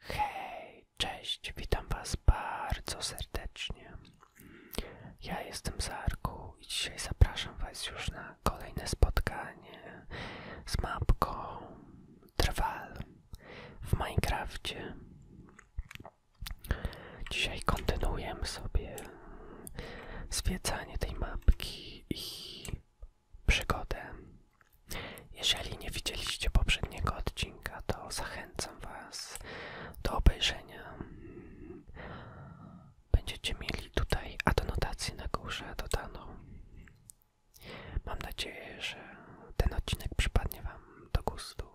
Hej, cześć, witam Was bardzo serdecznie. Ja jestem Zarku i dzisiaj zapraszam Was już na kolejne spotkanie z mapką Trwal w Minecrafcie. Dzisiaj kontynuujemy sobie zwiedzanie tej mapki i przygodę. Jeżeli nie widzieliście poprzedniego odcinka, to zachęcam Was do obejrzenia. Będziecie mieli tutaj adnotację na górze dodaną. Mam nadzieję, że ten odcinek przypadnie Wam do gustu.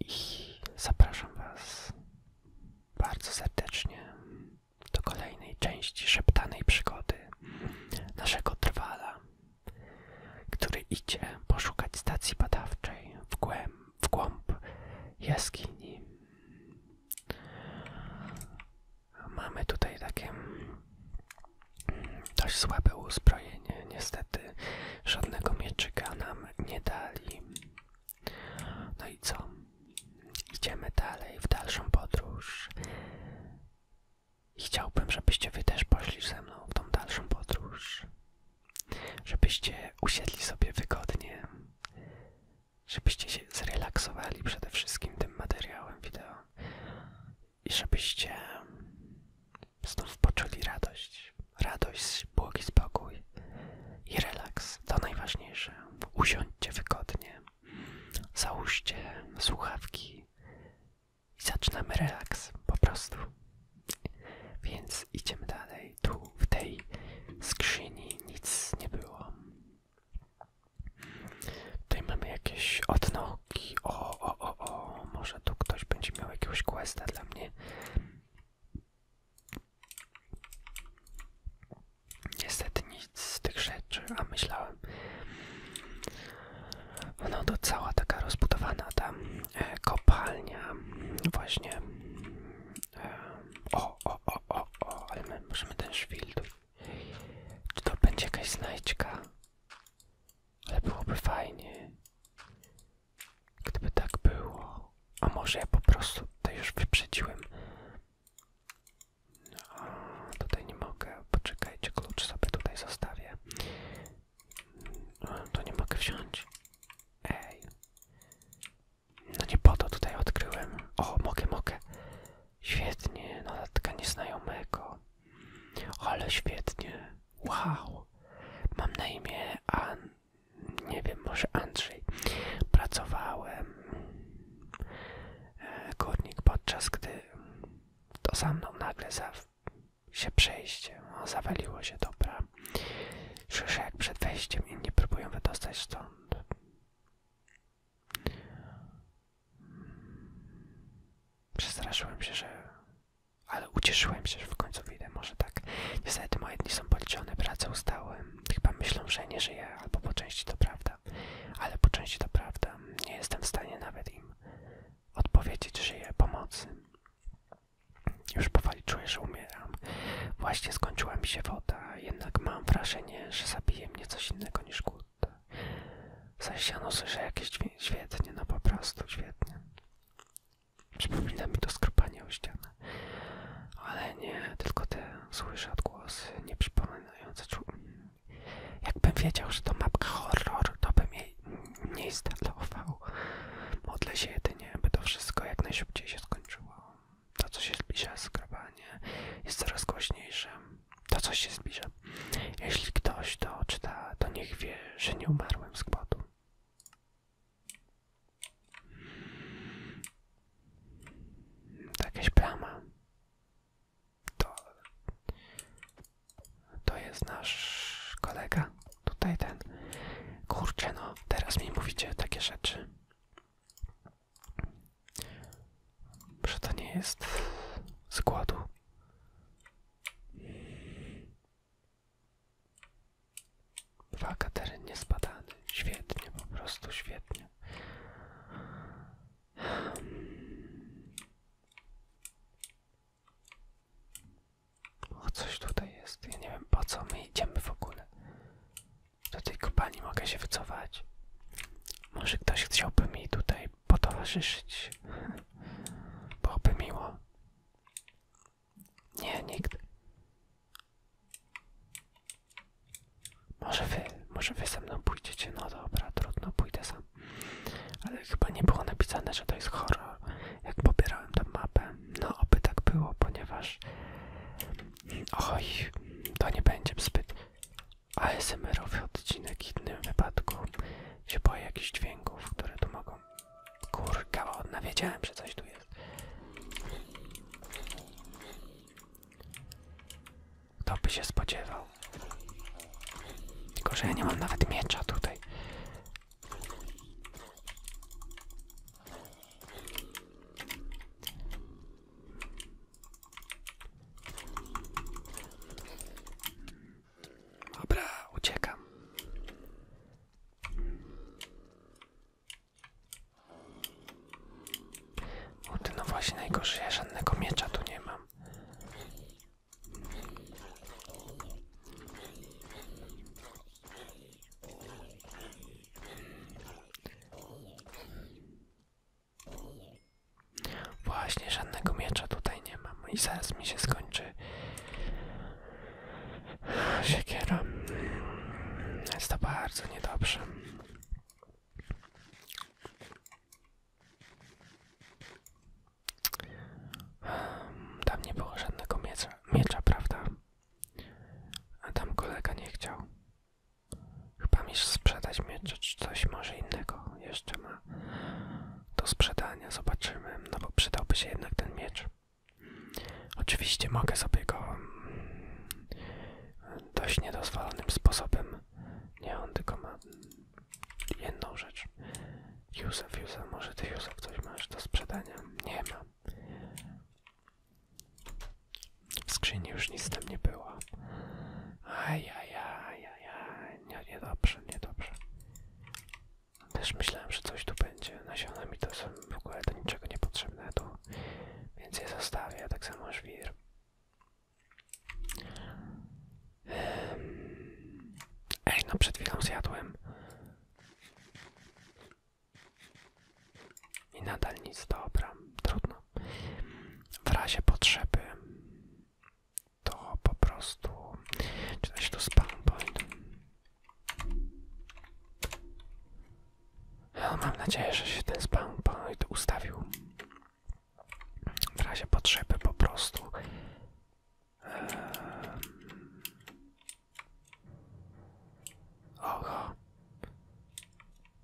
I zapraszam Was bardzo serdecznie do kolejnej części szeptanej przygody naszego trwala, który idzie poszukać stacji badawczej w głęb, w głąb jaskini. Mamy tutaj takie dość słabe uzbrojenie, niestety żadnego mieczyka nam nie dali. No i co? Idziemy dalej w dalszą podróż. I chciałbym, żebyście wy też poszli ze mną w tą dalszą podróż. Żebyście usiedli sobie wygodnie. Żebyście się zrelaksowali przede wszystkim tym materiałem wideo. I żebyście znów poczuli radość. Radość, błogi spokój i relaks. To najważniejsze. Usiądźcie wygodnie. Załóżcie słuchawki i zaczynamy relaks po prostu. Więc idziemy dalej. Tu w tej skrzyni nic nie było. Tutaj mamy jakieś odnogi. O, o, o, o. Może tu ktoś będzie miał jakieś questa dla mnie. Niestety z tych rzeczy, a myślałem. No to cała taka rozbudowana tam e, kopalnia, właśnie. E, o, o, o, o, o, ale my możemy ten szwild. Czy to będzie jakaś znajdźka? Ale byłoby fajnie. Gdyby tak było. A może ja po prostu to już wyprzedziłem. A, tutaj nie mogę. Poczekajcie, klucz sobie tutaj zostawię. Tu nie mogę wziąć. Ej. No nie po to tutaj odkryłem. O, mogę, mogę. Świetnie, notatka nieznajomego. Ale świetnie. Wow. Mam na imię An... Nie wiem, może Andrzej. Pracowałem. E, górnik podczas gdy to za mną nagle za się przejście. No, zawaliło się, dobra. Słyszę jak przed wejściem inni próbują wydostać stąd. Przestraszyłem się, że... Ale ucieszyłem się, że w końcu widzę, może tak. Niestety moje dni są policzone, pracę ustałem. Chyba myślą, że nie żyję, albo po części to prawda ale po części to prawda. Nie jestem w stanie nawet im odpowiedzieć, że je pomocy. Już powoli czuję, że umieram. Właśnie skończyła mi się woda, jednak mam wrażenie, że zabije mnie coś innego niż głód. Zasiano słyszę jakieś świetnie, no po prostu świetnie. Przypomina mi to skrupanie o ścianę. Ale nie, tylko te słyszę odgłosy, nie przypominające Jakbym wiedział, że to mapka horroru, to bym jej nie instalował. Modlę się jedynie, by to wszystko jak najszybciej się skończyło. To, co się zbliża, skrobanie jest coraz głośniejsze. To, co się zbliża. Jeśli ktoś to czyta, to niech wie, że nie umarłem z głodu. To plama to, to jest nasz kolega, tutaj ten. Kurczę no, teraz mi mówicie takie rzeczy. Że to nie jest z głodu. Uwaga, teren Świetnie, po prostu świetnie. O, coś tutaj jest. Ja nie wiem po co my idziemy w ogóle. Do tej kopalni mogę się wycofać. Może ktoś chciałby mi tutaj potowarzyszyć. Byłoby miło. Nie, nikt. Może wy, może wy ze mną pójdziecie. No dobra, trudno, pójdę sam. Ale chyba nie było napisane, że to jest horror, jak pobierałem tam mapę. No, oby tak było, ponieważ. Oj, to nie będzie zbyt ASMR-owy odcinek w innym wypadku. Się boję jakichś dźwięków, które tu mogą. Kurka, ładna, wiedziałem, że coś tu jest. To by się spodziewał. Tylko, że ja nie mam nawet miecza tutaj. Dobra, uciekam. O no właśnie najgorzej, ja żadnego miecza tu nie mam. Właśnie żadnego miecza tutaj nie mam i zaraz mi się skończy siekiera. Jest to bardzo niedobrze. Tam nie było żadnego miecza, miecza, prawda? A tam kolega nie chciał. Chyba mi sprzedać miecze czy coś może innego jeszcze ma do sprzedania. Zobaczymy, no bo przydałby się jednak ten miecz. Oczywiście mogę sobie go mm, dość niedozwolonym sposobem. Nie on tylko ma jedną rzecz. Józef, Józef, może ty Józef coś masz do sprzedania? Nie ma. W skrzyni już nic tam nie było. Ajajajajaj, nie, niedobrze, niedobrze. Też myślałem, że coś tu będzie. Nasiona mi to są w ogóle do niczego niepotrzebne więc je zostawię, tak samo żwir. Ej, no przed chwilą zjadłem. I nadal nic, dobra, trudno. W razie potrzeby to po prostu... Czy tu spawn point? No, mam nadzieję, że się ten spawn point ustawił w razie potrzeby po prostu Oho,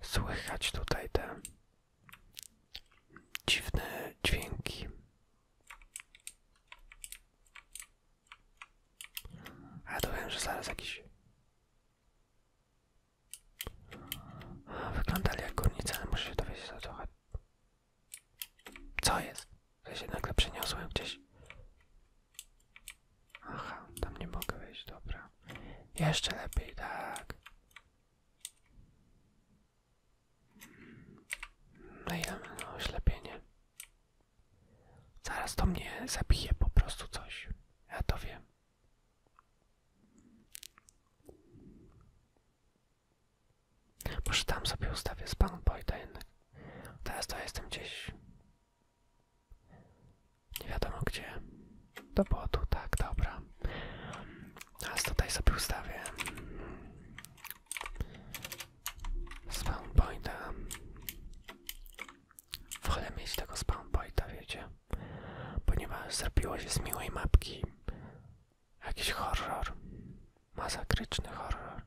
słychać tutaj te dziwne dźwięki. A to wiem, że zaraz jakiś... Wyglądali jak górnicy, ale muszę się dowiedzieć to co co jest? Ja się nagle przeniosłem gdzieś. Aha, tam nie mogę wejść, dobra. Jeszcze lepiej, tak. No i no, oślepienie. Zaraz to mnie zabije po prostu coś. Ja to wiem. Może tam sobie ustawię spawn panem Boyda jednak. Teraz to jestem gdzieś. Nie wiadomo gdzie. Do botu, tak, dobra. Teraz tutaj sobie ustawię. Spawn pointa. Wolę mieć tego spawn pointa, wiecie. Ponieważ zrobiło się z miłej mapki Jakiś horror. Masakryczny horror.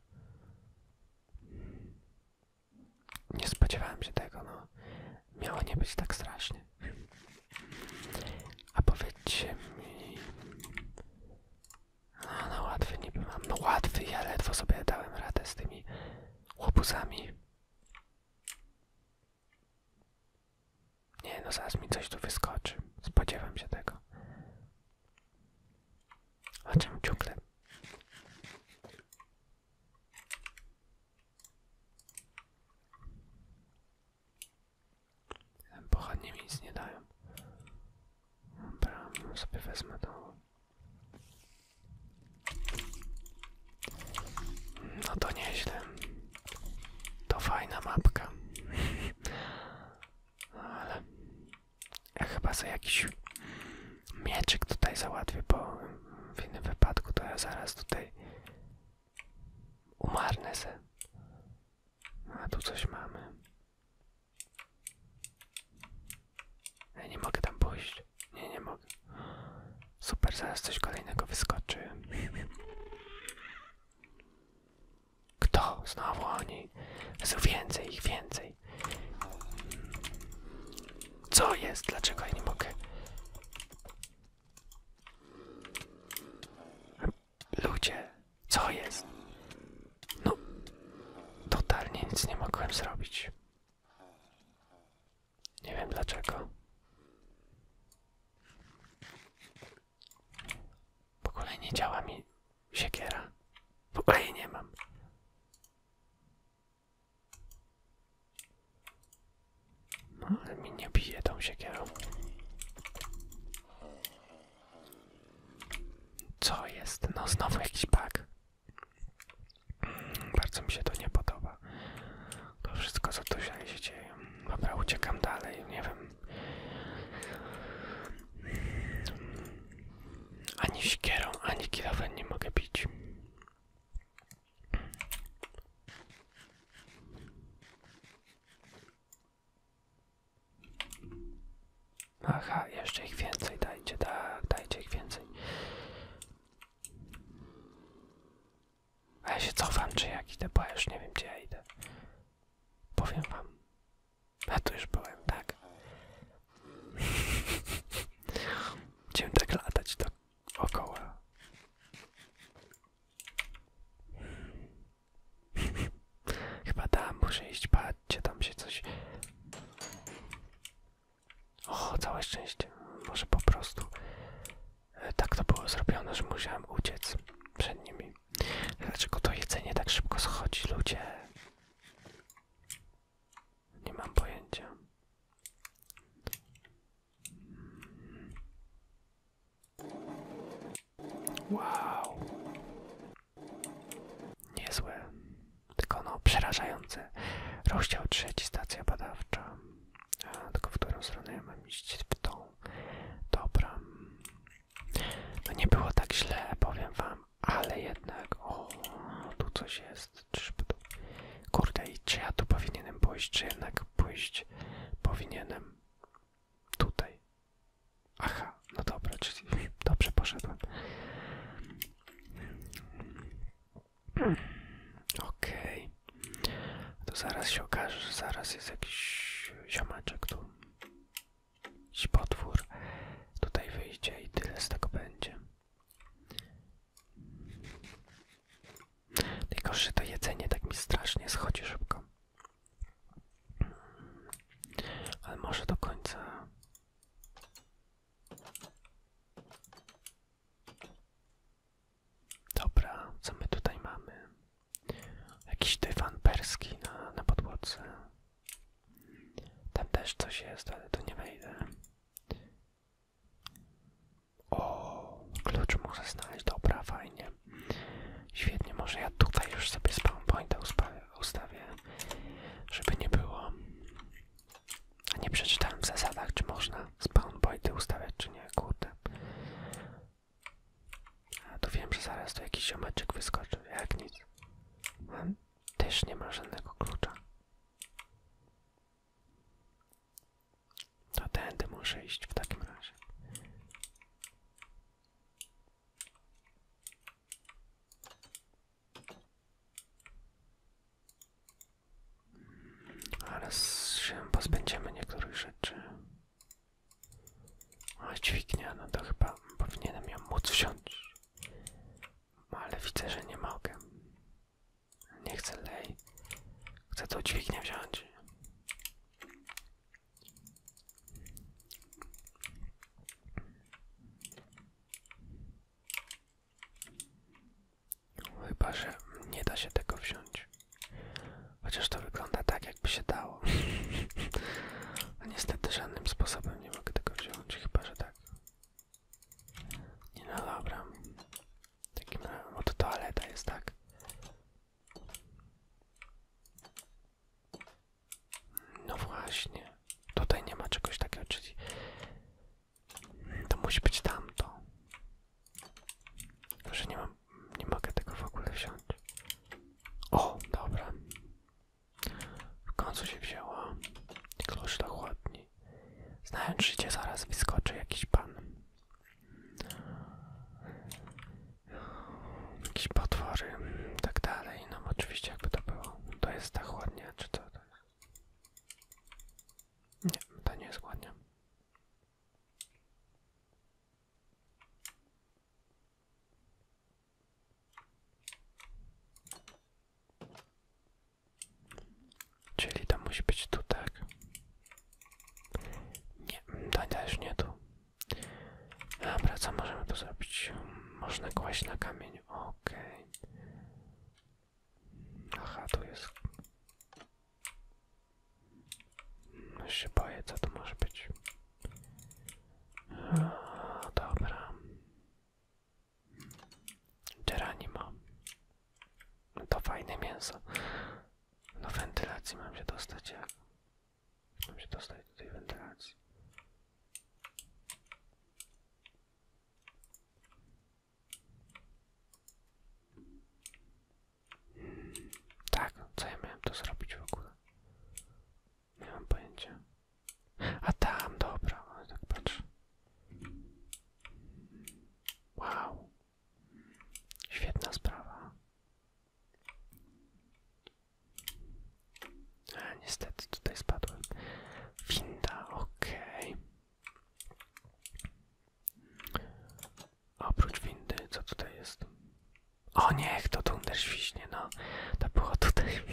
Nie spodziewałem się tego, no. Miało nie być tak strasznie. A powiedzcie mi... No, no łatwy niby mam. No łatwy, ja ledwo sobie dałem radę z tymi łobuzami. Nie no, zaraz mi coś tu wyskoczy. Spodziewam się tego. A czemu ciągle? Pochodnie mi nic nie dają. Dobra, sobie wezmę to. No to nieźle. To fajna mapka. No ale ja chyba za jakiś mieczyk tutaj załatwię, bo w innym wypadku to ja zaraz tutaj umarnę se. A tu coś mamy. Ja nie mogę tam pójść. Nie, nie mogę. Super, zaraz coś kolejnego wyskoczy. Kto? Znowu oni. Jezu, więcej ich, więcej. Co jest? Dlaczego ja nie mogę? Ludzie, co jest? No, totalnie nic nie mogłem zrobić. Nie wiem dlaczego. Po kolei nie działa mi W ogóle jej nie mam. No, ale mi nie bije tą siekierą. Co jest? No znowu jakiś bug. Mm, bardzo mi się to nie podoba. To wszystko co tu się dzieje. Dobra, uciekam dalej. Nie wiem, ani siekierą, ani kilofem nie mogę pić. Aha, jeszcze ich więcej dajcie, dajcie ich więcej. A ja się cofam, czy jakiś idę, bo już nie wiem, gdzie ja idę. Powiem wam. A tu już byłem, tak? Chciałem tak latać dookoła. Chyba tam muszę iść, patrzcie, tam się coś... Och, całe szczęście. Może po prostu e, tak to było zrobione, że musiałem uciec przed nimi. Dlaczego to jedzenie tak szybko schodzi, ludzie? Nie mam pojęcia. Wow. Niezłe. Tylko no, przerażające. Rozdział trzeci, stacja badawcza. A, tylko w którą stronę mam iść? W tą. Dobra. No nie było tak źle, powiem wam, ale jednak, o, tu coś jest, kurde, i czy ja tu powinienem pójść, czy jednak pójść powinienem tutaj. Aha, no dobra, czyli dobrze poszedłem. Okej, okay. to zaraz się okaże, że zaraz jest jakiś ziomeczek tu. Jakiś potwór tutaj wyjdzie i tyle z tego będzie. Najgorsze to jedzenie tak mi strasznie schodzi szybko. Ale może do końca. Dobra, co my tutaj mamy? Jakiś dywan perski na, na podłodze. Tam też coś jest, ale tu nie wejdę. O, klucz muszę znaleźć, dobra, fajnie. Świetnie, może ja tutaj już sobie spawn pointa ustawię, żeby nie było. A nie przeczytałem w zasadach, czy można spawn pointy ustawiać, czy nie, kurde. A to wiem, że zaraz tu jakiś ziomeczek wyskoczy, jak nic. On też nie ma żadnego klucza. To tędy muszę iść w takim razie. Hmm, Ale się pozbędziemy niektórych rzeczy. O, dźwignia, no to chyba powinienem ją móc wziąć. No, ale widzę, że nie mogę. Nie chcę lej. Chcę tą dźwignię wziąć. Chyba, że nie da się tego wziąć. Chociaż to wygląda tak, jakby się dało. A niestety żadnym sposobem nie mogę tego wziąć, chyba że tak. Nie no dobra. Takim no to toaleta jest tak. No właśnie. Tutaj nie ma czegoś takiego, czyli to musi być tamto. Że nie mam nie mogę tego w ogóle wziąć. O, dobra. W końcu się wzięła. Klucz do chłodni. Znając życie, zaraz wyskoczy jakiś pan. jakiś potwory, tak dalej. No oczywiście jakby to było. To jest ta chłodnia, czy to Nie, to nie jest chłodnia. Czyli to musi być tu, tak? Nie, to też nie tu. Dobra, co możemy tu zrobić? Można kłaść na kamień, okej. Okay. Aha, tu jest... No się boję, co to może być. O, dobra. Geranimo. To fajne mięso. Do wentylacji mam się dostać jak? Mam się dostać tutaj tej wentylacji. Tak, co ja miałem to zrobić w ogóle? Nie mam pojęcia. A tam, dobra, ale no tak patrz. Wow. Świetna sprawa. A, niestety tutaj spadłem. Winda, okej. Oprócz windy, co tutaj jest? O niech to Thunder świśnie, no. To było tutaj.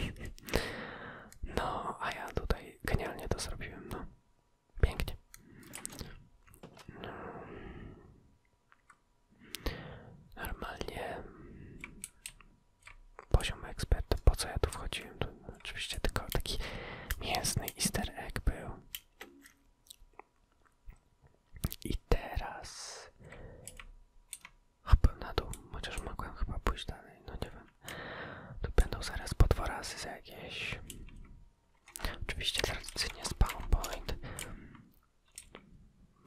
No, a ja tutaj genialnie to zrobiłem, no. Pięknie. Normalnie poziom eksperta, po co ja tu wchodziłem? Tu oczywiście tylko taki mięsny easter egg był. I teraz... Hop, na dół, chociaż mogłem chyba pójść dalej, no nie wiem. Tu będą zaraz po za jakieś. Oczywiście tradycyjnie spawn point.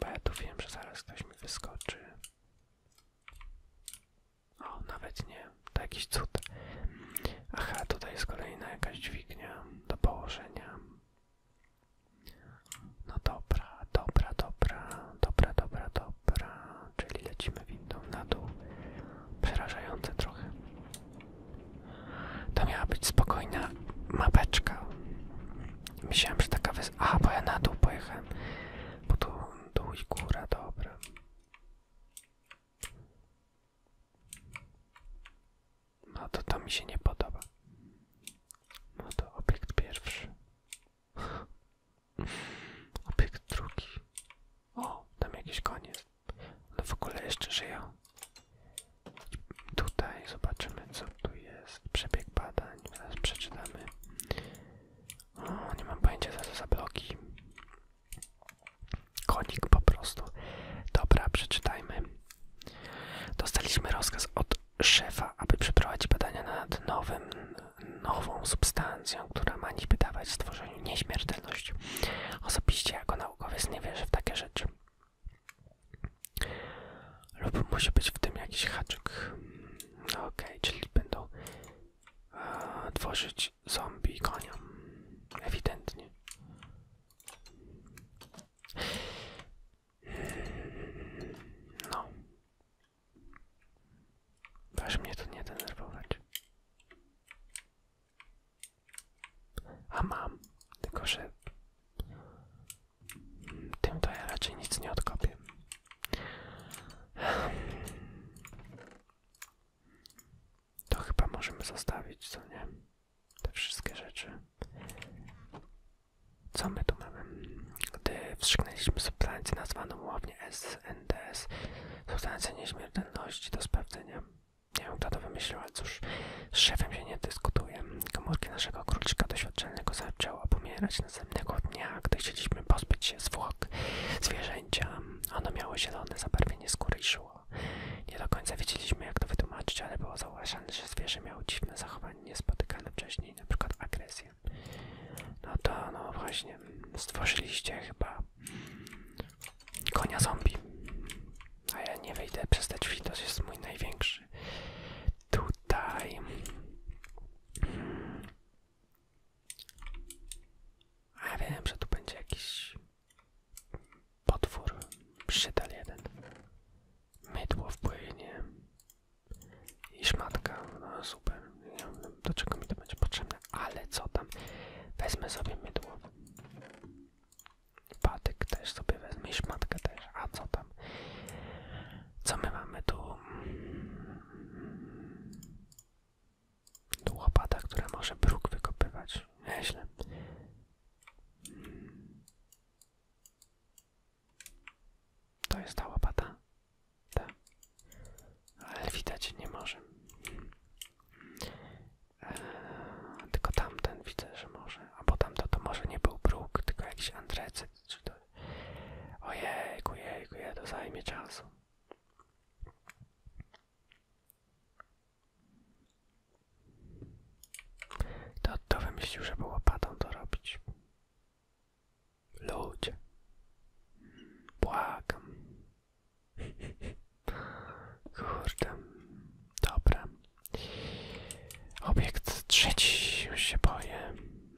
Bo ja tu wiem, że zaraz ktoś mi wyskoczy. O, nawet nie. To jakiś cud. Aha, tutaj jest kolejna jakaś dźwignia do położenia. No dobra, dobra, dobra, dobra, dobra, dobra, czyli lecimy windą na dół. Przerażające trochę. To miała być spokojna mapeczka. Myślałem, że taka wys... A, bo ja na dół pojechałem. Bo tu dół i góra, dobra. No to to mi się nie podoba. No to obiekt pierwszy. Obiekt drugi. O, tam jakiś koniec. No w ogóle jeszcze żyją. Tutaj zobaczymy co tu jest. Przebieg badań. Zaraz przeczytamy. O, nie mam pojęcia za to za bloki. Konik po prostu. Dobra, przeczytajmy. Dostaliśmy rozkaz od szefa, aby przeprowadzić badania nad nowym, nową substancją, która ma niby dawać stworzeniu nieśmiertelność. Osobiście jako naukowiec nie wierzę w takie rzeczy. Lub musi być w tym jakiś haczyk. No okej, czyli będą e, tworzyć zombie i konia. Ewidentnie. No. Każ mnie tu nie denerwować. A mam, tylko że tym to ja raczej nic nie odkopię. To chyba możemy zostawić, co nie? Te wszystkie rzeczy. Co my tu mamy? Gdy wstrzyknęliśmy substancję nazwaną ławnie SNDS, substancję nieśmiertelności do sprawdzenia. Nie wiem, kto to wymyślił, ale cóż, z szefem się nie dyskutuje. Komórki naszego króliczka doświadczalnego zaczęły pomierać następnego dnia, gdy chcieliśmy pozbyć się zwłok zwierzęcia. Ono miało zielone zabarwienie skóry i szło. Nie do końca wiedzieliśmy, jak to wytłumaczyć, ale było zauważane, że zwierzę miało dziwne zachowanie niespotykane wcześniej, na przykład agresję. No to no właśnie, stworzyliście chyba konia zombie. A ja nie wejdę przez te drzwi, jest mój największy. Tutaj... A ja wiem, że tu będzie jakiś potwór, przydal jeden. Mydło wpłynie i szmatka, no, super, nie wiem do czego mi to będzie potrzebne, ale co tam, wezmę sobie mydło, patyk też sobie wezmę i szmatkę też, a co tam, co my mamy tu, tu łopata, która może bruk wykopywać, nieźle, to jest ta łapata, Ta. Ale widać nie może. Eee, tylko tamten widzę, że może. A bo tamto to może nie był bruk, tylko jakiś andrecyt. Czy to... Ojejku, jejku, je, to zajmie czasu. To, to wymyślił, żeby łopatą to robić. Ludzie, błagam. Kurde, dobra. Obiekt trzeci, już się boję.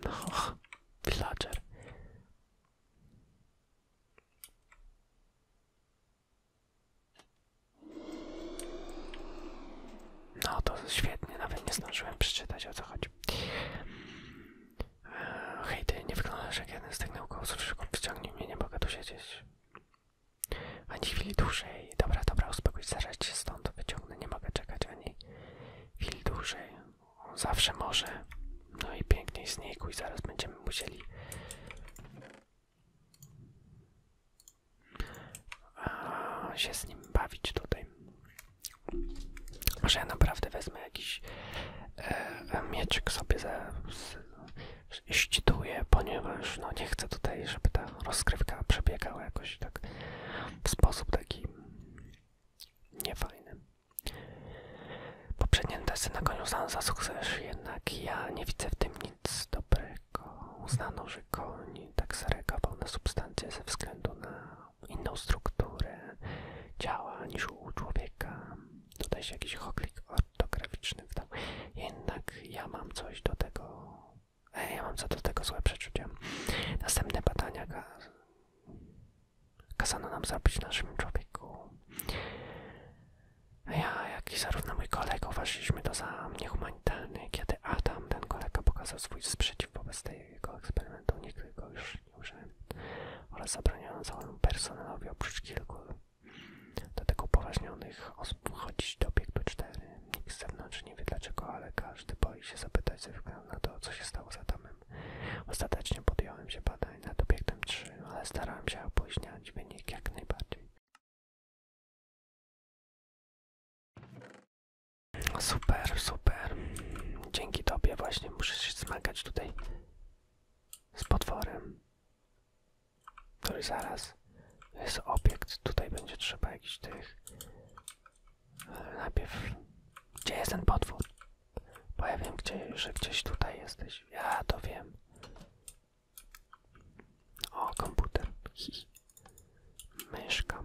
No, villager. No to świetnie, nawet nie zdążyłem przeczytać o co chodzi. Eee, hej ty, nie wykonałeś jak jeden z tych naukowców, szybko wciągnij mnie, nie mogę tu siedzieć. Ani chwili dłużej. Dobra, dobra, uspokój się, zaraz cię stąd wyciągnę, nie mogę czekać ani chwili dłużej. Zawsze może. No i pięknie znikł i zaraz będziemy musieli się z nim bawić tutaj. Może naprawdę wezmę jakiś e, e mieczyk sobie ze, ścituję, ponieważ no, nie chcę tutaj, żeby ta rozkrywka przebiegała jakoś tak w sposób taki niefajny. Poprzedni testy na koniu Sansa Success, jednak ja nie widzę w tym nic dobrego. Uznano, że duży koń tak zareagował na substancję ze względu na inną strukturę ciała niż u człowieka. Tutaj się jakiś hoklik ortograficzny wdał. Jednak ja mam coś do tego. E, ja mam co do tego złe przeczucia. Następne badania kaz kazano nam zrobić naszym człowieku. A ja, jak i zarówno mój kolega, uważaliśmy to za niehumanitarny, kiedy Adam, ten kolega, pokazał swój sprzeciw wobec tej jego eksperymentu nikt go już nie użyłem oraz zabraniono całemu personelowi oprócz kilku do tego upoważnionych osób chodzić do obiektu 4. Nikt z zewnątrz nie wie dlaczego, ale każdy boi się zapytać ze względu na to, co się stało za Adamem. Ostatecznie podjąłem się badań nad obiektem 3, ale starałem się opóźniać wynik jak najbardziej. Super, super. Dzięki tobie właśnie muszę się zmagać tutaj z potworem, który zaraz jest obiekt. Tutaj będzie trzeba jakichś tych... E, najpierw... Gdzie jest ten potwór? Bo ja wiem, gdzie, że gdzieś tutaj jesteś. Ja to wiem. O, komputer. Myszka.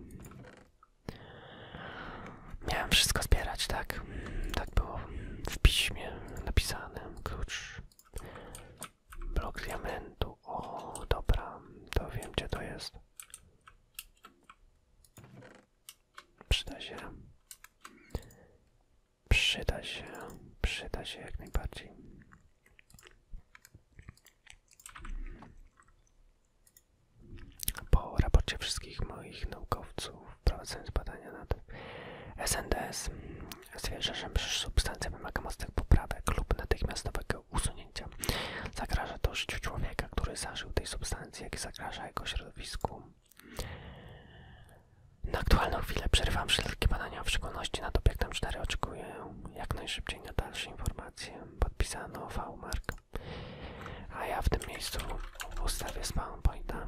Miałem wszystko zbierać, tak? Tak było w piśmie napisane. Klucz. Blok diamentu. O, dobra. To wiem, gdzie to jest. Przyda się. Przyda się. Przyda się jak najbardziej. Po raporcie wszystkich moich naukowców prowadzących badania nad SNDS stwierdza, że substancja wymaga mocnych poprawek lub natychmiastowego usunięcia. Zagraża to życiu człowieka, który zażył tej substancji, jak i zagraża jego środowisku. Na aktualną chwilę przerywam wszelkie badania, w szczególności nad obiektem 4 oczekuję jak najszybciej na dalsze informacje. Podpisano V. Mark. A ja w tym miejscu ustawię spawn pointa.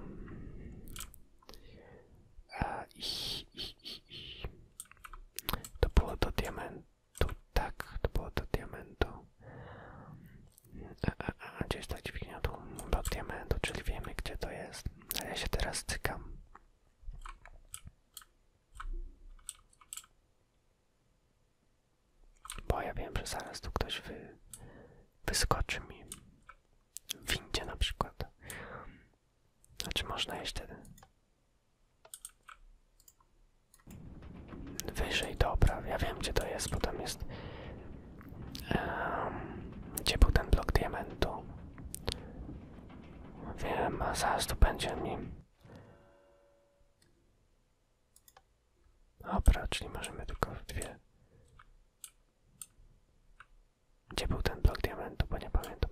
E, To było do diamentu, tak, to było do diamentu. E, e, e, a, a, a, ta dźwignia do diamentu, czyli wiemy gdzie to jest. A ja się teraz cykam. Bo ja wiem, że zaraz tu ktoś wy, wyskoczy mi w windzie na przykład. Znaczy można jeść wtedy. Wyżej, dobra, ja wiem gdzie to jest, bo tam jest... gdzie był ten blok diamentu? Wiem, a zaraz tu będzie mi... Dobra, czyli możemy tylko w dwie. Gdzie był ten blok diamentu, bo nie pamiętam.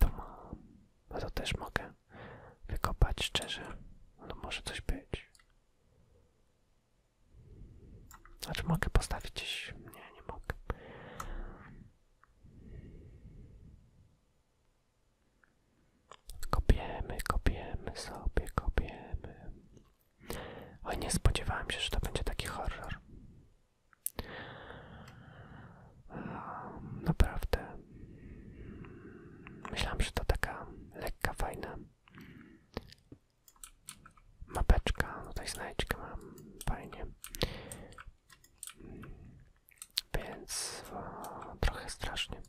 To mam. No to też mogę wykopać szczerze. No może coś być. Znaczy mogę postawić gdzieś. Nie, nie mogę. Kopiemy, kopiemy sobie, kopiemy. Oj, nie spodziewałem się, że to będzie taki horror. Naprawdę. Myślałem, że to taka lekka, fajna Mapeczka, no tutaj znajdźkę mam, fajnie. Więc trochę strasznie.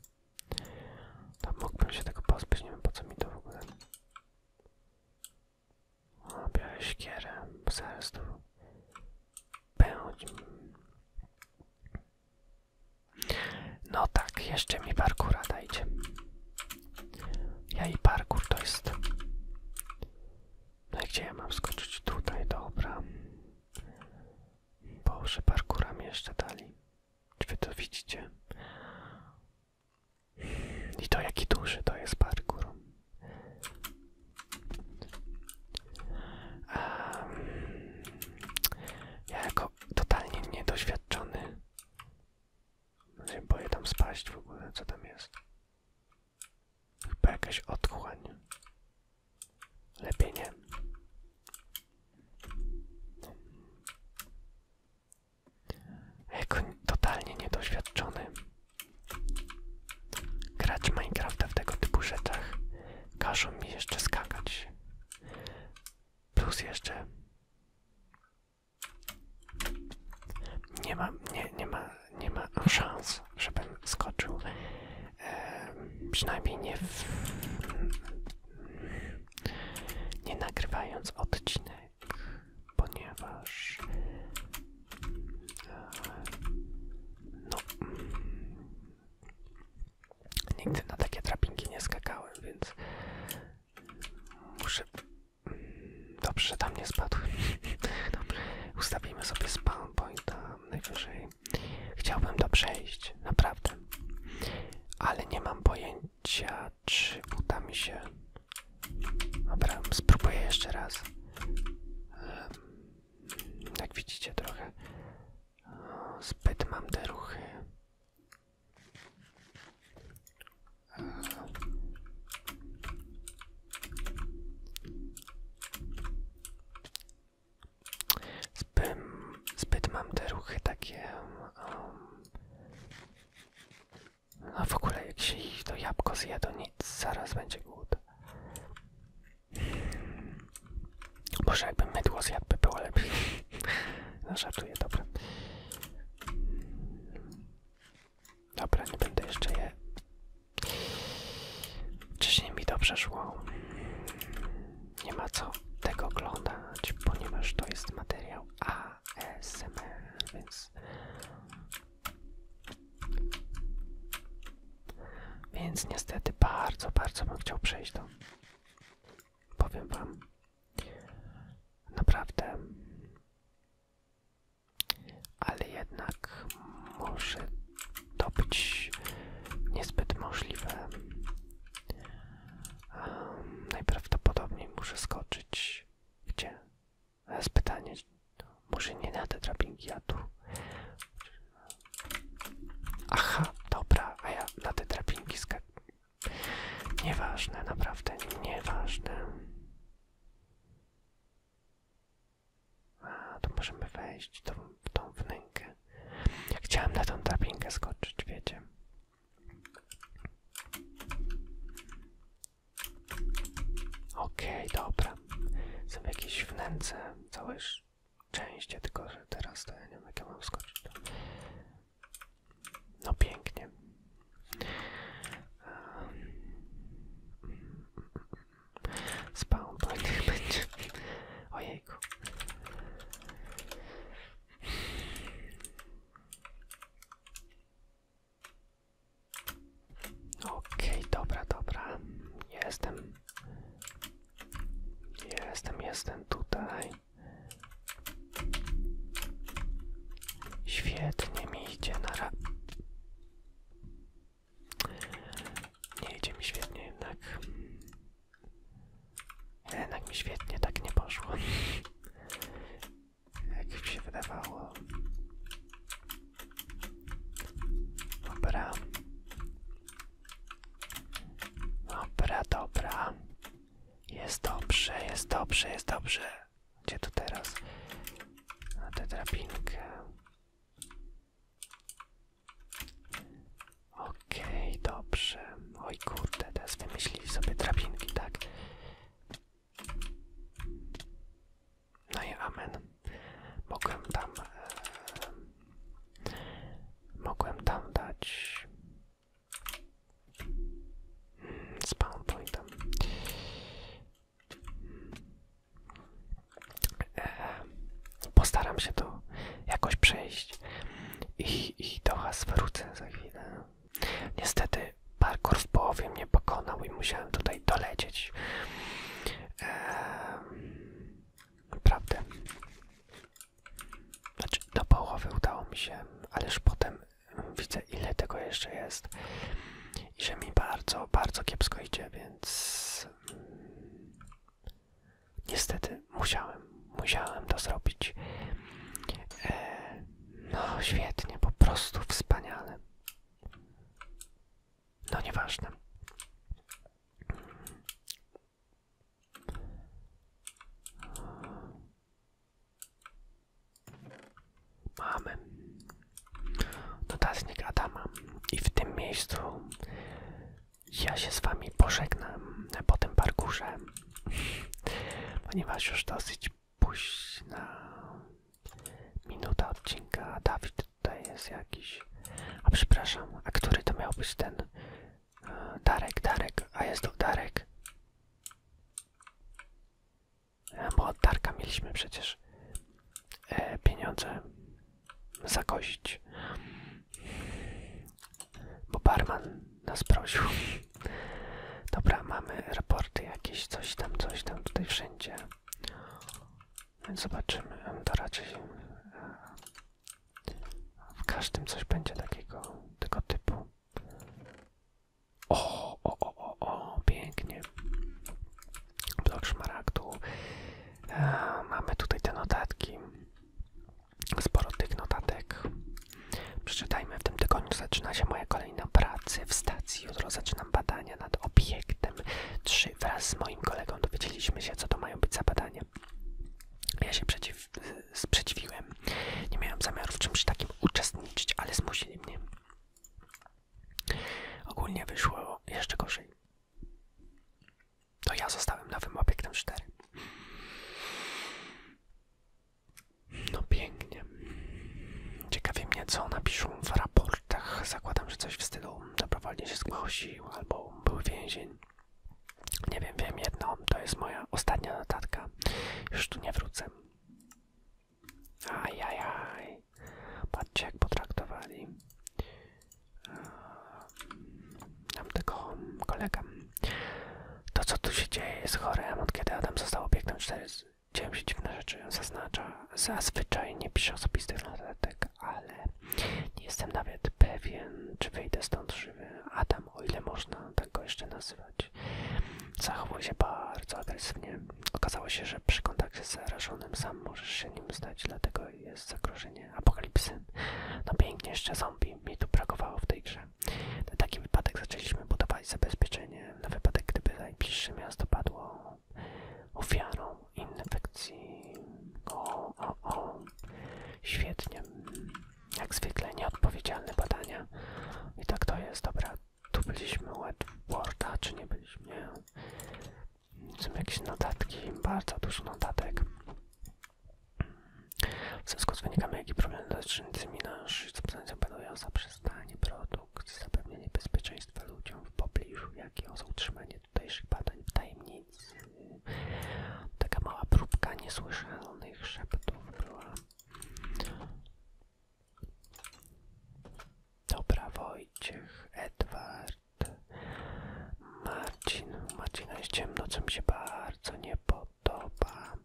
Tam mógłbym się tego pozbyć, nie wiem po co mi to w ogóle. O, biorę siekierę, zaraz tu pędź. No tak, jeszcze mi parkura dajcie. Ja i parkour to jest. No i gdzie ja mam skoczyć? Tutaj, dobra. Boże, parkura jeszcze dali. Czy wy to widzicie? I to jaki duży to jest parkour. ja jako totalnie niedoświadczony no boję tam spaść w ogóle, co tam jest. Chyba jakaś otchłań. Lepiej nie. Jako totalnie niedoświadczony. Grać Minecrafta w tego typu rzeczach każą mi jeszcze skakać. Plus jeszcze nie ma, nie, nie ma, nie ma szans, żebym skoczył. E, przynajmniej nie nie nagrywając odcinek, ponieważ e, no nigdy na takie drabinki nie skakałem, więc muszę Dobrze, że tam nie spadł. ustawimy sobie spawn pointa najwyżej. Chciałbym to przejść, naprawdę. Ale nie mam pojęcia, czy uda mi się. Dobra, spróbuję jeszcze raz. Jak widzicie, trochę zbyt mam te ruchy. Zbyt, zbyt mam te ruchy takie. Um, no w ogóle jak się ich zaraz będzie głód. Może jakby mydło zjadł, by było lepiej. No żartuję, dobra. Dobra, nie będę jeszcze je. Wcześniej mi dobrze szło. Nie ma co tego oglądać, ponieważ to jest materiał ASMR, więc. Więc niestety bardzo, bardzo bym chciał przejść do. Powiem wam, Naprawdę. Ale jednak może to być niezbyt możliwe. najprawdopodobniej muszę skoczyć. Gdzie? Z pytanie. Może nie na te drabinki, a tu. Aha, dobra, a ja na te drabinki skaczę. Nieważne, naprawdę nieważne. A, tu możemy wejść tą, w tą wnękę. Chciałem na tą drabinkę skoczyć, wiecie. Okej, okay, dobra. Są jakieś wnęce, całe szczęście, tylko że teraz to ja nie mogę jak skoczyć. No pięknie. Spał, niech tak będzie. Ojejku. Okej, dobra, dobra. Jestem. Jestem, jestem tutaj. Świetnie mi idzie na ra... Nie idzie mi świetnie jednak. Jednak mi świetnie tak nie poszło. Jak mi się wydawało. Dobra. Dobra, dobra. Jest dobrze, jest dobrze, jest dobrze. Gdzie to teraz? Na tę drabinkę. Okej, okay, dobrze. Oj kurde, teraz wymyślili sobie drabinki, tak? No i amen. Mogłem tam... E, mogłem tam dać... Z powerpointem. E, postaram się to jakoś przejść i, i do was wrócę za chwilę. Niestety parkour w połowie mnie pokonał i musiałem tutaj dolecieć. E, naprawdę. Znaczy do połowy udało mi się, ależ potem widzę ile tego jeszcze jest i że mi bardzo, bardzo kiepsko idzie, więc mm, niestety musiałem, musiałem to zrobić. E, no świetnie, po prostu wspaniale. No nieważne. Mamy No notatnik Adama i w tym miejscu ja się z wami pożegnam po tym parkurze, ponieważ już dosyć późna minuta odcinka. Dawid tutaj jest jakiś. A przepraszam, a który to miał być ten? E, Darek, Darek, a jest to Darek. E, bo od Darka mieliśmy przecież e, pieniądze zakozić. Bo barman nas prosił. Dobra, mamy raporty jakieś, coś tam, coś tam, tutaj wszędzie. zobaczymy, to raczej e, w każdym coś będzie takiego, tego typu. O, o, o, o, pięknie. Blok szmaragdu. E, mamy tutaj te notatki. Sporo tych notatek. Przeczytajmy, w tym tygodniu zaczyna się moja kolejna praca w stacji. Jutro zaczynam badania nad obiektem 3. Wraz z moim kolegą dowiedzieliśmy się, co to mają być za badania. Ja się przeciw, sprzeciwiłem. Nie miałem zamiaru w czymś takim uczestniczyć, ale zmusili mnie. Ogólnie wyszło jeszcze gorzej. To ja zostałem nowym obiektem 4. No pięknie. Ciekawi mnie, co napiszą w raportach. Zakładam, że coś w stylu się zgłosił albo był więzień. Nie wiem, wiem jedno. To jest moja ostatnia notatka. Już tu nie wrócę. Ajajaj. Patrzcie jak potraktowali. Nam ehm, tego kolegę. To co tu się dzieje jest chore. Od kiedy Adam został obiektem 4 dzieją się dziwne rzeczy. Zaznacza. Zazwyczaj nie piszę osobistych notatek, ale nie jestem nawet pewien, czy wejdę stąd żywy. Adam, o ile można tak go jeszcze nazywać zachowuje się bardzo agresywnie. Okazało się, że przy kontakcie z zarażonym sam możesz się nim zdać, dlatego jest zagrożenie apokalipsy. No pięknie, jeszcze zombie mi tu brakowało w tej grze. Na taki wypadek zaczęliśmy budować zabezpieczenie na wypadek, gdyby najbliższe miasto padło ofiarą infekcji. O, o, o. Świetnie. Jak zwykle nieodpowiedzialne badania. I tak to jest, dobra. Tu byliśmy u Edwarda, czy nie byliśmy? Nie. Są jakieś notatki, bardzo dużo notatek. W związku z wynikami, jakie problem dotyczącymi nasz substancja banują zaprzestanie produkt, zapewnienie bezpieczeństwa ludziom w pobliżu, jak i utrzymanie tutejszych badań w tajemnicy. Taka mała próbka niesłyszalnych szeptów była. Dobra, Wojciech, Edward, Marcin. Marcina jest ciemno, co mi się bardzo nie podoba.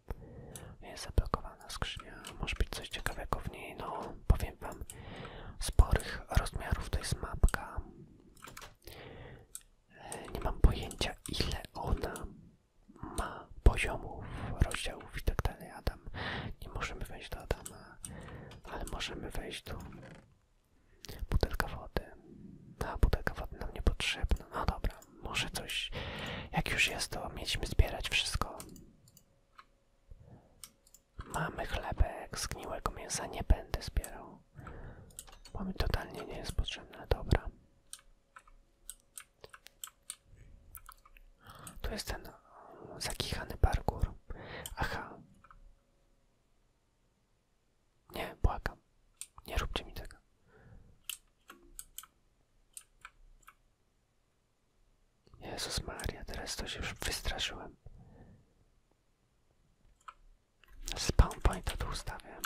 Jest zablokowana skrzynia. Może być coś ciekawego w niej. No, powiem wam, sporych rozmiarów to jest mapka. E, nie mam pojęcia ile ona ma poziomów, rozdziałów i tak dalej. Adam. Nie możemy wejść do Adama, ale możemy wejść do Butelka wody. A, butelka wody nam niepotrzebna. No dobra, może coś. Jak już jest, to mieliśmy zbierać wszystko. Mamy chlebek, zgniłego mięsa nie będę zbierał. Bo mi totalnie nie jest potrzebne. Dobra. Tu jest ten zakichany parkour. Aha. Nie, błagam. Nie róbcie mi tego. Jezus Maria, teraz to się już wystraszyłem. Spawn pointa tu ustawiam.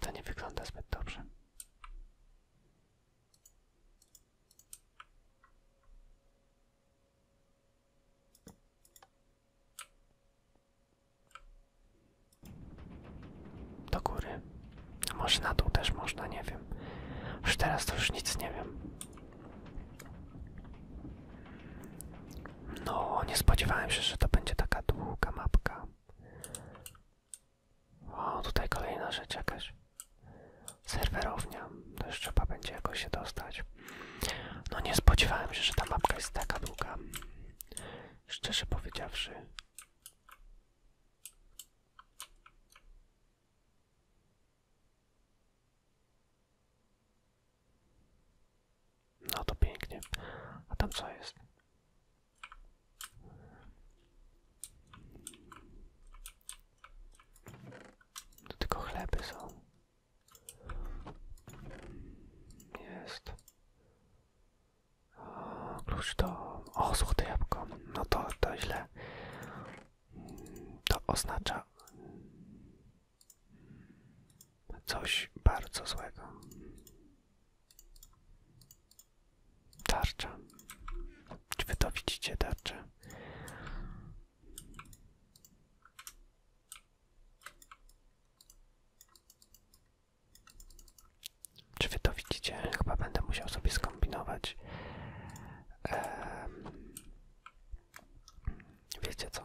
To nie wygląda zbyt dobrze. Do góry. Może na dół też można, nie wiem. Już teraz to już nic nie wiem. No, nie spodziewałem się, że to będzie taka długa mapka. O, tutaj kolejna rzecz jakaś. Serwerownia. To jeszcze trzeba będzie jakoś się dostać. No nie spodziewałem się, że ta mapka jest taka długa. Szczerze powiedziawszy. No to pięknie. A tam co jest? To tylko chleby są. Jest. O, do... O, złote jabłko. No to, to źle. To oznacza... Coś bardzo złego. Tarcza. Czy wy to widzicie tarczę? Czy wy to widzicie? Chyba będę musiał sobie skombinować. Wiecie co?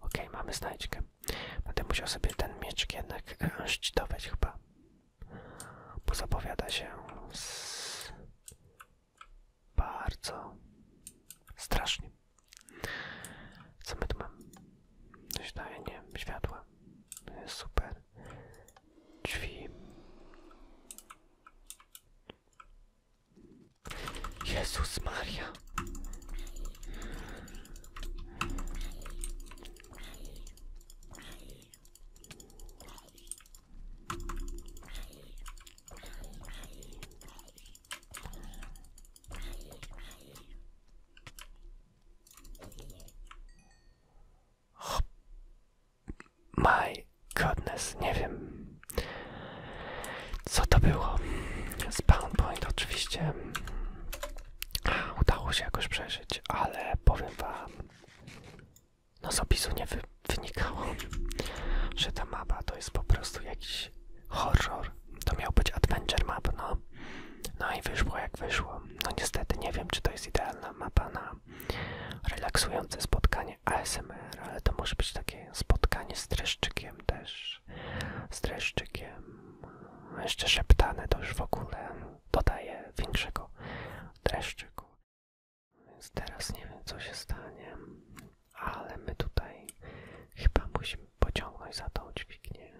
Okej, okay, mamy znajdźkę. Będę musiał sobie ten mieczek jednak e, szczytować chyba. Bo zapowiada się bardzo strasznie. Co my tu mamy? Oświetlenie, światła. Super. Drzwi. Jezus Maria. Oh, my goodness, nie wiem co to było. Spawn point oczywiście udało się jakoś przeżyć, ale powiem wam, no z nie, wy, wynikało, że ta mapa to jest po prostu jakiś horror. To miał być adventure map, no. No i wyszło jak wyszło. No niestety nie wiem, czy to jest idealna mapa na relaksujące spotkanie ASMR, ale to może być takie spotkanie z dreszczykiem też. Z dreszczykiem. Jeszcze szeptane to już w ogóle dodaje większego dreszczyku. Więc teraz nie wiem co się stanie, ale my tutaj chyba musimy pociągnąć za tą dźwignię.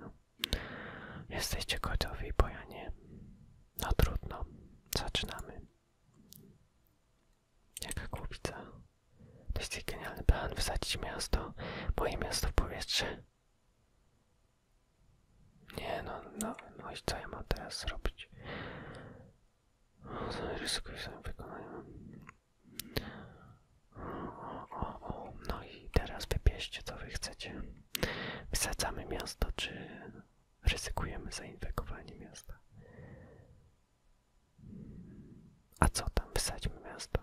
Jesteście gotowi, bo ja nie. No trudno, zaczynamy. Jaka głupica. To jest genialny plan, wysadzić miasto, moje miasto w powietrze. Nie no, no, no i co ja mam teraz zrobić? ryzyko swoim O, o, o, no i teraz wybierzcie co wy chcecie. Wysadzamy miasto, czy ryzykujemy zainfekowanie miasta? A co tam? Wysadźmy miasto.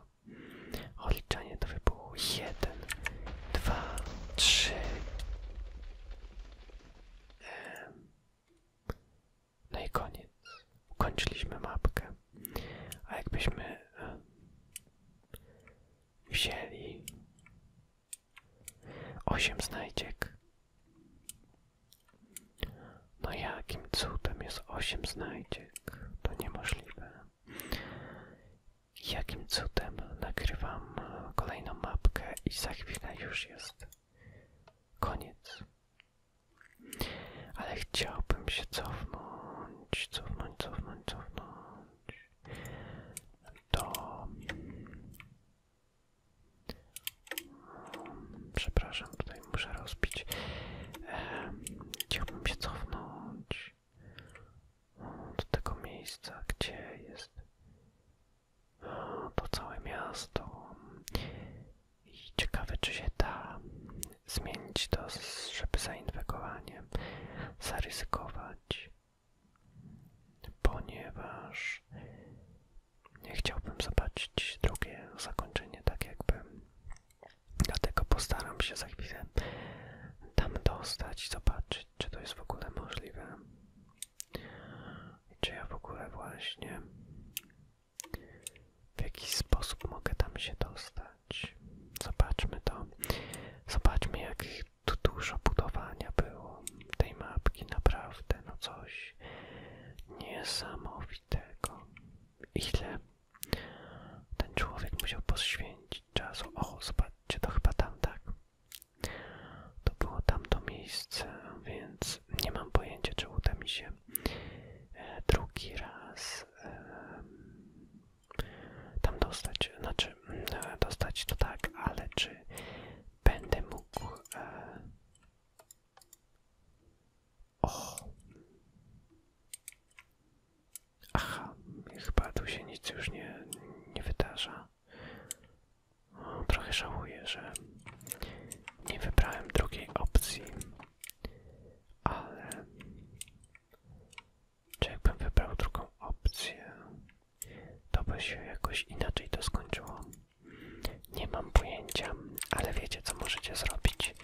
Odliczanie to wybuchu. Jeden, dwa, trzy. No i koniec. Ukończyliśmy mapkę. A jakbyśmy e, wzięli 8 znajdziek. No jakim cudem jest 8 znajdziek? To niemożliwe. Jakim cudem nagrywam e, kolejną mapkę i za chwilę już jest koniec. Ale chciałbym się cofnąć, cofnąć, cofnąć, cofnąć do... Przepraszam, tutaj muszę rozbić. Chciałbym się cofnąć do tego miejsca, gdzie jest to całe miasto. I ciekawe, czy się da zmienić to, żeby zainwekowanie zaryzykować, ponieważ nie chciałbym zobaczyć drugie zakończenie, tak jakby. Dlatego postaram się za chwilę tam dostać, i zobaczyć, czy to jest w ogóle możliwe. czy ja w ogóle właśnie w jaki sposób mogę tam się dostać. Zobaczmy to. Zobaczmy, jak tu dużo budowania było tej mapki, naprawdę, no coś niesamowitego. Ile ten człowiek musiał poświęcić czasu. Och, zobaczcie, to chyba tam, tak? To było tam to miejsce, więc nie mam pojęcia czy uda mi się, e, drugi raz tam dostać, znaczy e, dostać to tak, ale czy będę mógł... E, o! Aha, chyba tu się nic już nie, nie wydarza. O, trochę żałuję, że nie wybrałem drugiej opcji, ale czy jakbym wybrał drugą opcję, to by się jakoś inaczej to skończyło. Nie mam pojęcia, ale wiecie co możecie zrobić.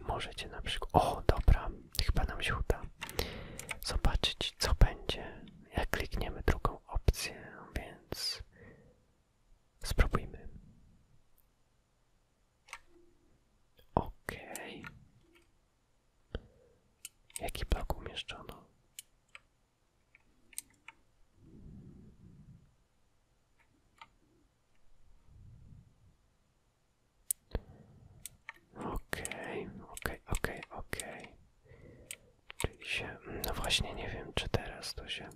Możecie na przykład. O, dobra, chyba nam się uda. Zobaczyć, co będzie, jak klikniemy drugą opcję, więc spróbujmy. OK. Jaki blok umieszczono? Okej, okay, okej, okej, okej się... No właśnie nie wiem, czy teraz to się...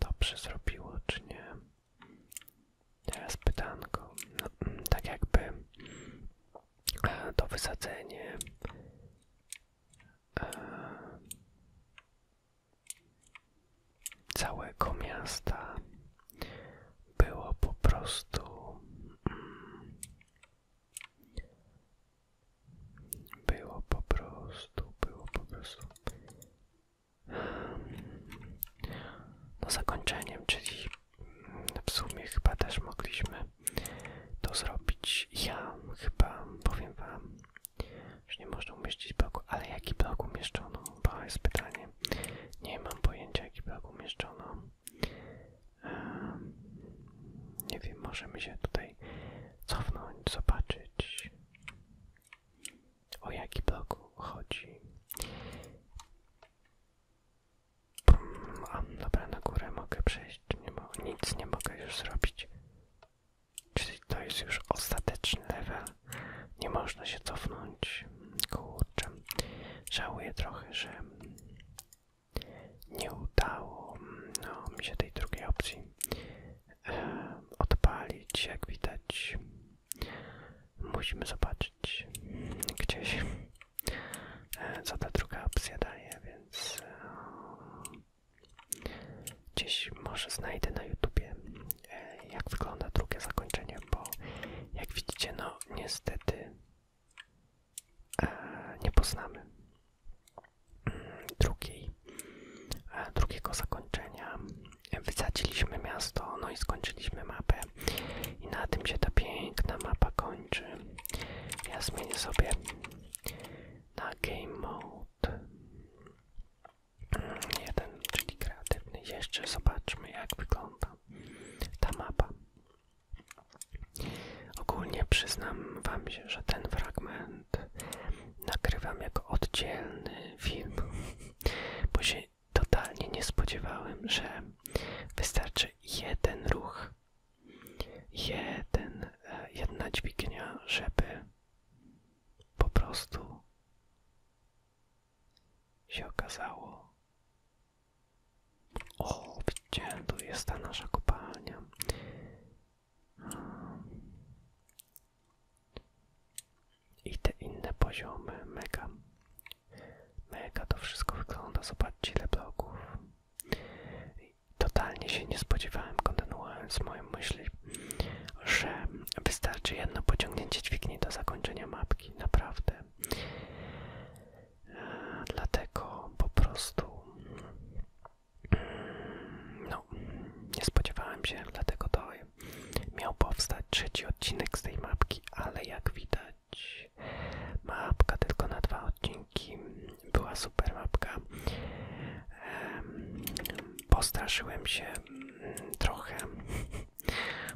Dobrze zrobiło, czy nie? Teraz pytanko. No, mm, tak jakby e, to wysadzenie e, całego miasta mm, było po prostu było po prostu było po prostu no zakończeniem, czyli w sumie chyba też mogliśmy to zrobić. Ja chyba powiem wam, że nie można umieścić bloku, ale jaki blok umieszczono? To jest pytanie nie, mam pojęcia jaki blog umieszczono. Nie wiem, możemy się tutaj cofnąć, zobaczyć o jaki blog chodzi. Mm, a, dobra, na górę mogę przejść, nic nie mogę już zrobić. Czyli to jest już ostateczny level nie można się cofnąć. Kurczę, żałuję trochę, że nie udało no, mi się tej drugiej opcji e, odpalić, jak widać. Musimy zobaczyć gdzieś, e, co ta druga opcja daje, więc e, gdzieś może znajdę na YouTubie E, jak wygląda drugie zakończenie, bo jak widzicie, no niestety e, nie poznamy mm, drugiej, e, drugiego zakończenia. Wysadziliśmy miasto, no i skończyliśmy mapę. I na tym się ta piękna mapa kończy. Ja zmienię sobie na Game Mode 1, mm, czyli kreatywny. Jeszcze zobaczmy, jak wygląda. Ta mapa. Ogólnie przyznam Wam się, że ten fragment nagrywam jako oddzielny film, bo się totalnie nie spodziewałem, że wystarczy jeden ruch, jeden, e, jedna dźwignia, żeby po prostu się okazało. O, widzicie, tu jest ta nasza kopalnia. I te inne poziomy, mega. Mega to wszystko wygląda, zobaczcie ile bloków. Totalnie się nie spodziewałem, kontynuując moją myśl, że wystarczy jedno pociągnięcie dźwigni do zakończenia mapki, naprawdę. Dlatego po prostu mm, no, nie spodziewałem się, dlatego to miał powstać trzeci odcinek z tej mapki, ale jak widać mapka tylko na dwa odcinki była super mapka. Postraszyłem się mm, trochę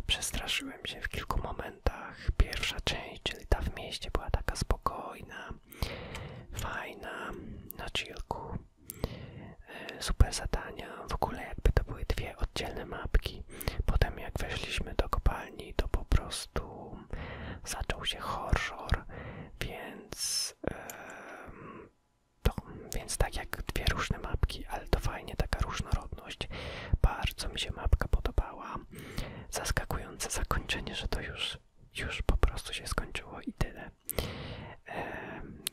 Przestraszyłem się w kilku momentach. Pierwsza część, czyli ta w mieście, była taka spokojna, fajna, na chillku. E, super zadania, w ogóle jakby to były dwie oddzielne mapki. Potem jak weszliśmy do kopalni, to po prostu zaczął się horror, więc, więc tak jak dwie różne mapki, ale to fajnie taka różnorodność. Bardzo mi się mapka podobała. Zaskakujące zakończenie, że to już, już po prostu się skończyło i tyle.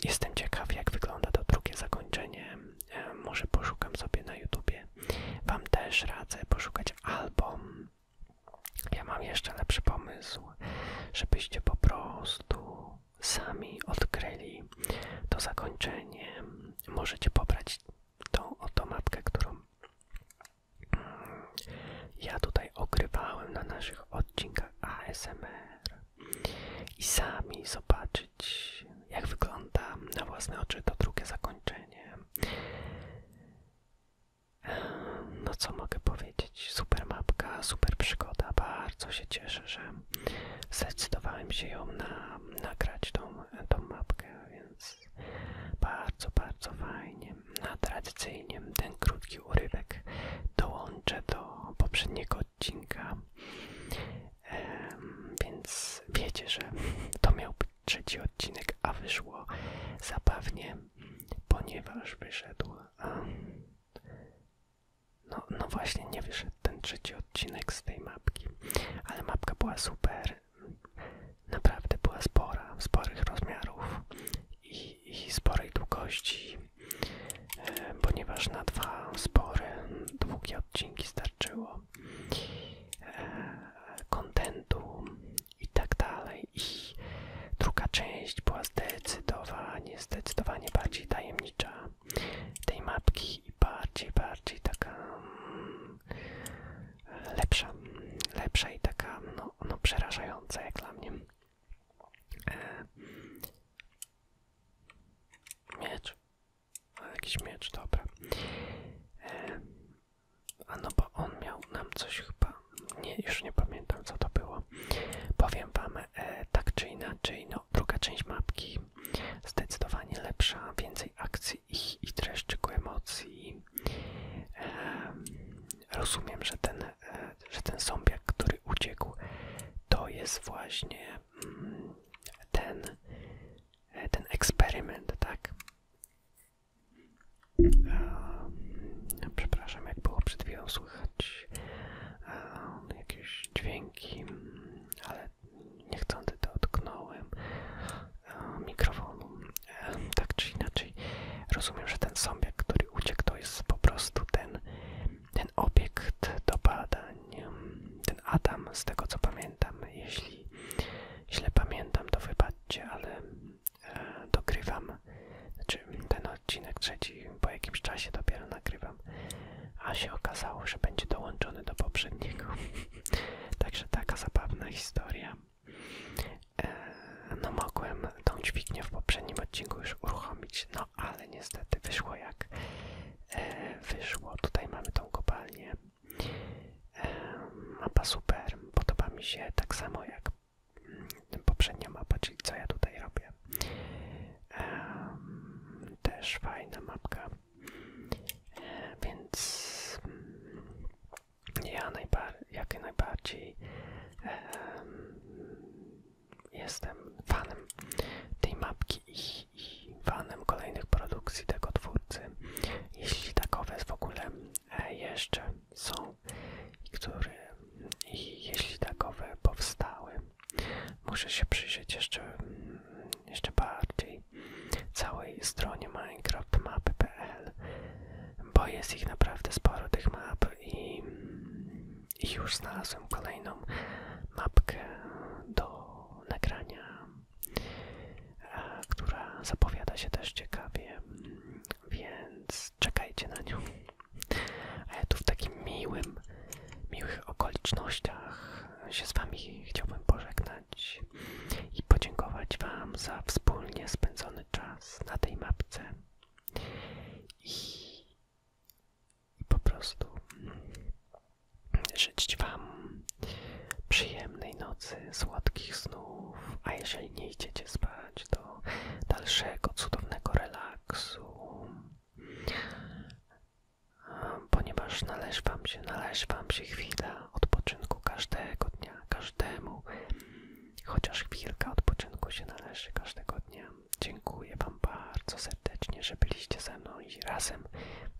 jestem ciekaw, jak wygląda to drugie zakończenie. może poszukam sobie na YouTubie. Wam też radzę poszukać album. Ja mam jeszcze lepszy pomysł, żebyście po prostu sami odkryli to zakończenie możecie pobrać tą oto mapkę, którą mm, ja tutaj ogrywałem na naszych odcinkach ASMR i sami zobaczyć jak wygląda na własne oczy to drugie zakończenie. Ehm, no co mogę powiedzieć? Super mapka, super przygoda. Bardzo się cieszę, że zdecydowałem się ją nagrać tą, mapkę, więc bardzo, bardzo fajnie. A tradycyjnie ten krótki urywek dołączę do poprzedniego odcinka, więc wiecie, że to miał być trzeci odcinek, a wyszło zabawnie, ponieważ wyszedł. A, no, no właśnie, nie wyszedł ten trzeci odcinek z tej mapki. Ale mapka była super, naprawdę była spora, sporych rozmiarów i, i sporej długości, e, ponieważ na dwa spore, długie odcinki starczyło e, kontentu i tak dalej. I druga część była zdecydowanie, zdecydowanie bardziej tajemnicza tej mapki i bardziej, bardziej taka mm, lepsza, lepsza i taka no, no przerażająca jak dla mnie. E, miecz, jakiś miecz, dobra. E, a no bo on miał nam coś chyba, nie, już nie pamiętam co to było. Powiem wam e, tak czy inaczej, no druga część mapki zdecydowanie lepsza, więcej akcji ich, ich treści, ku emocji. rozumiem, że ten, e, że ten zombiak, który uciekł, to jest właśnie mm, ten, e, ten eksperyment, tak? przepraszam, jak było przed słychać jakieś dźwięki, mm, ale niechcący dotknąłem e, mikrofonu. E, tak czy inaczej, rozumiem, że ten zombiak, który uciekł, to jest po prostu ten, ten obiekt do badań. Ten Adam, z tego co pamiętam, jeśli źle pamiętam, to wybaczcie, ale e, dogrywam. Znaczy, ten odcinek trzeci po jakimś czasie dopiero nagrywam, a się okazało, że będzie dołączony do poprzedniego. Także taka zabawna historia. E, no mogłem tą dźwignię w poprzednim odcinku już uruchomić, no ale niestety wyszło jak e, wyszło. Tutaj mamy tą kopalnię. E, mapa super, podoba mi się tak samo jak mm, poprzednia mapa, czyli co ja tutaj robię. Też fajna mapka. Więc mm, ja najbar jak najbardziej jestem fanem tej mapki i, fanem kolejnych produkcji tego twórcy. Jeśli takowe w ogóle e, jeszcze są i jeśli takowe powstały, muszę się przyjrzeć jeszcze mm, jeszcze bardziej całej stronie minecraftmapy.pl, bo jest ich naprawdę sporo tych map i, już znalazłem kolejną mapkę do nagrania, e, która zapowiada się też ciekawie, więc czekajcie na nią. A ja tu w takim miłym, miłych okolicznościach się z Wami chciałbym pożegnać i podziękować Wam za wspólnie spędzony czas na tej mapce. I, i po prostu życzyć Wam przyjemnej nocy, słodkich snów, a jeżeli nie idziecie spać, to dalszego cudownego relaksu ponieważ należy Wam się, należy Wam się chwila odpoczynku każdego dnia, każdemu, chociaż chwilka odpoczynku się należy każdego dnia. Dziękuję Wam bardzo serdecznie, że byliście ze mną i razem,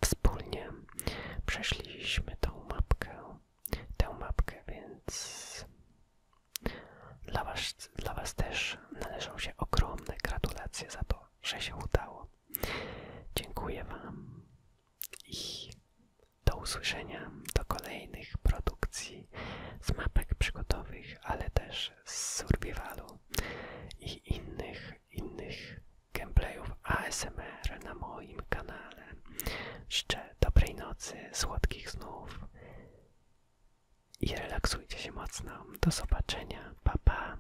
wspólnie przeszliśmy tą mapkę, tę mapkę, więc dla Was, dla was też należą się ogromne gratulacje za to, że się udało. Dziękuję Wam i do usłyszenia do kolejnych produkcji z mapek przygotowych, ale też z survivalu i innych, innych gameplayów ASMR na moim kanale. Życzę dobrej nocy, słodkich snów i relaksujcie się mocno. Do zobaczenia. Pa, pa.